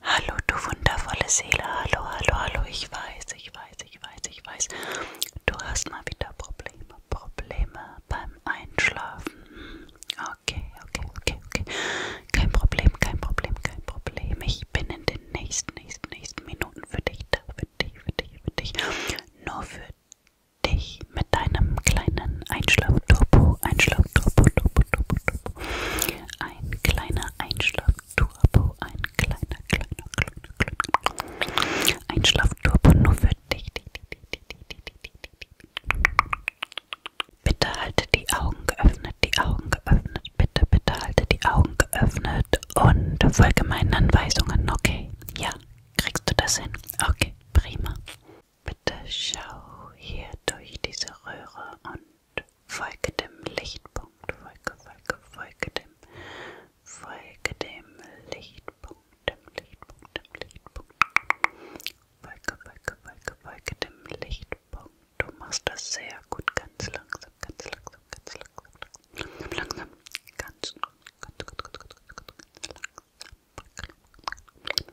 Hallo, du wundervolle Seele. Hallo, hallo, hallo. Ich weiß, ich weiß, ich weiß, ich weiß. Du hast mal wieder Probleme, Probleme beim Einschlafen. Okay, okay, okay, okay. Kein Problem, kein Problem, kein Problem. Ich bin in den nächsten, nächsten, nächsten Minuten für dich da, für dich, für dich, für dich. Nur für dich mit deinem kleinen Einschlafturbo, Einschlafturbo, Turbo, Turbo, Turbo ein kleiner Einschlafturbo, ein kleiner, kleiner, kleiner, kleiner Einschlafturbo nur für dich. Bitte halte die Augen geöffnet, die Augen geöffnet, bitte, bitte halte die Augen geöffnet und folge meinen Anweisungen, okay? Ja, kriegst du das hin? Okay, prima. Bitte schau hier durch diese Röhre und folge dem Lichtpunkt, folge, folge, folge dem, folge dem Lichtpunkt, dem Lichtpunkt, dem Lichtpunkt, folge, folge, folge, folge dem Lichtpunkt. Du machst das sehr gut, ganz langsam, ganz langsam, ganz langsam, langsam, langsam, ganz, ganz, ganz, ganz, ganz, ganz langsam.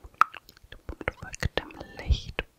Punkt folgt dem Lichtpunkt.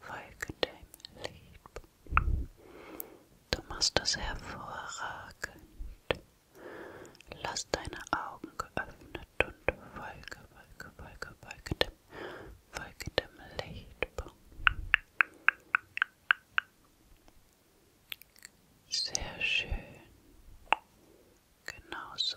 folge dem Lied. Du machst das hervorragend. Lass deine Augen geöffnet und folge, folge, folge, folge dem, folge dem Licht. Sehr schön. Genau so.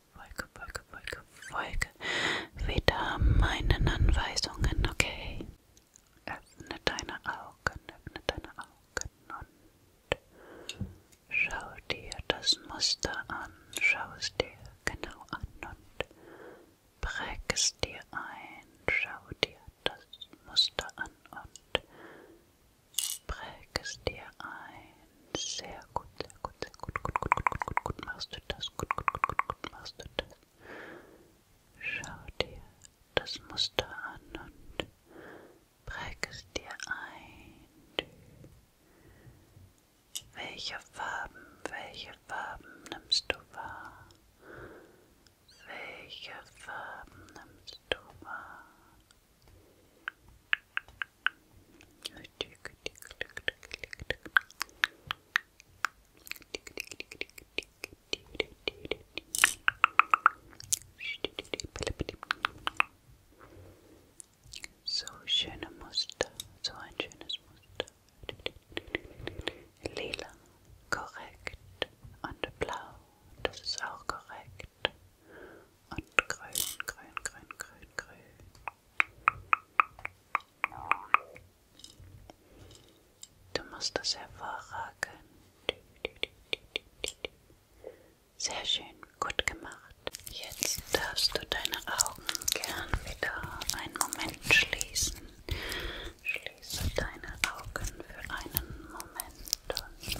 Folge, Folge, Folge, Folge. Wieder meinen Anweisungen, okay? Öffne deine Augen, öffne deine Augen und schau dir das Muster an. Schau es dir genau an und präg es dir ein. Schau dir das Muster an und präg es dir ein. Sehr gut, sehr gut, sehr gut, gut, gut, gut, gut, gut, gut, machst du das, gut, gut, gut, gut, gut, machst du das. Schau dir das Muster an und präg es dir ein. Welche Farben, welche Farben nimmst du wahr? Welche Farben nimmst du wahr? So schöne Muster, so ein schönes Muster. Lila, korrekt. Und blau, das ist auch korrekt. Und grün, grün, grün, grün, grün. Du machst das hervorragend. Sehr schön, gut gemacht. Jetzt darfst du deine Augen gern wieder einen Moment schließen. Schließe deine Augen für einen Moment und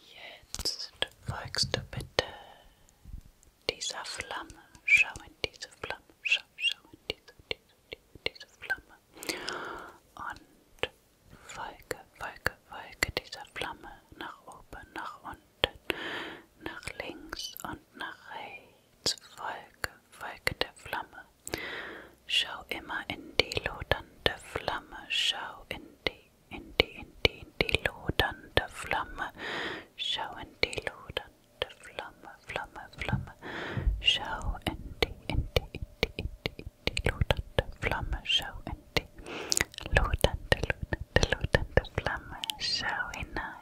Jetzt folgst du bitte dieser Flamme. Schau in diese Flamme. Schau, schau in diese, diese, diese, diese Flamme. Und folge, folge, folge dieser Flamme nach oben, nach unten nach links und nach rechts. Folge, folge der Flamme. Schau immer in die lodernde Flamme. Schau in die, in die, in die, in die lodernde Flamme. Schau in die lodernde Flamme, Flamme, Flamme. Schau in die, in die, in die, in die, in die lodernde Flamme. Schau in die lodernde, lodernde, lodernde Flamme. Schau hinein.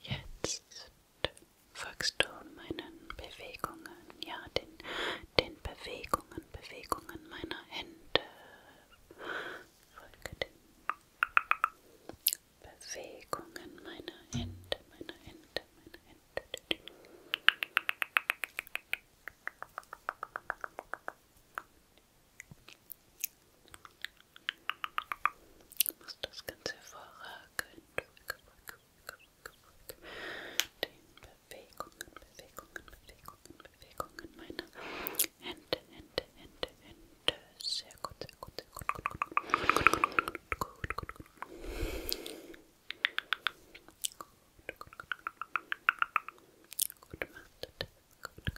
Jetzt folgst du meinen Bewegungen, ja, den, den Bewegungen, Bewegungen meiner Hände. Folge den Bewegungen meiner Hände, meiner Hände, meiner Hände. Du machst das ganz hervorragend. Den Bewegungen, Bewegungen, Bewegungen, Bewegungen meiner Hände, Hände, Hände, Hände. Sehr gut, sehr gut, sehr gut, gut, gut, gut, gut, gut, gut, gut. Gut, gut, gut. Gut, machst du das. Folge, Folge, Folge,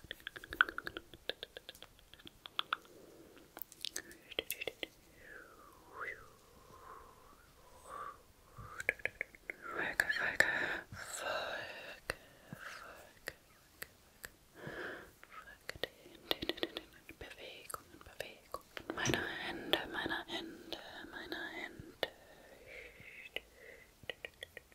Folge, Folge den, den, den, den Bewegungen, Bewegungen meiner Hände, meiner Hände, meiner Hände.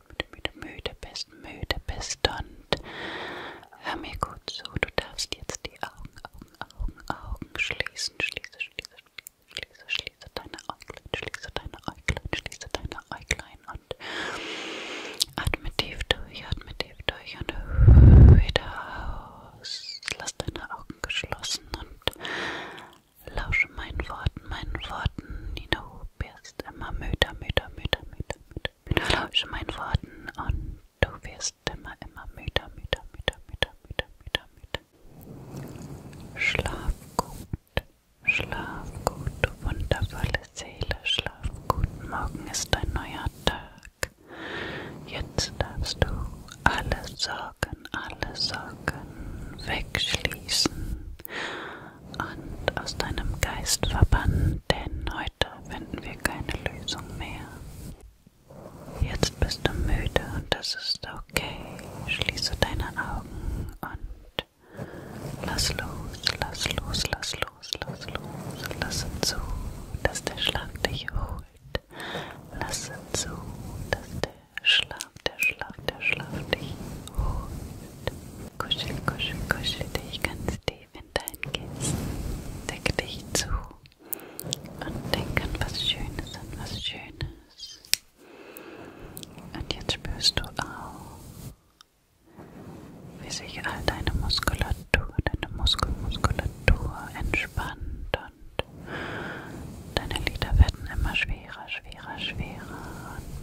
müde, müde, müde bist, müde bist und hör mir gut zu. Du darfst jetzt die Augen, Augen, Augen, Augen schließen, schließe, schließe, schließe, schließe deine Äuglein, schließe deine Äuglein, schließe deine Äuglein und atme tief durch, atme tief durch und wieder aus. Lass deine Augen geschlossen und lausche meinen Worten, meinen Worten, die du wirst immer müder, müder, müder, müder, müder, müder, lausch meinen Worten und du wirst immer, immer müder, müder, müder, müder, müder, müder, müder. Schlaf gut, schlaf gut, du wundervolle Seele, schlaf gut, morgen ist ein neuer Tag. Jetzt darfst du alle Sorgen, alle Sorgen wegschließen und aus deinem Geist verbannen, denn heute finden wir keine Lösung mehr. Jetzt bist du müde und das ist okay. Schließe deine Augen und lass los, lass los, lass los, lass los. Lasse zu, dass der Schlaf dich holt. Lasse zu, dass der Schlaf, der Schlaf, der Schlaf dich holt. Kuschel, kuschel, kuschel dich ganz tief in dein Kissen. Deck dich zu und denk an was Schönes, an was Schönes. Und jetzt spürst du auch, wie sich all deine Muskulatur, deine Muskelmuskulatur entspannt und deine Lider werden immer schwerer, schwerer, schwerer. Und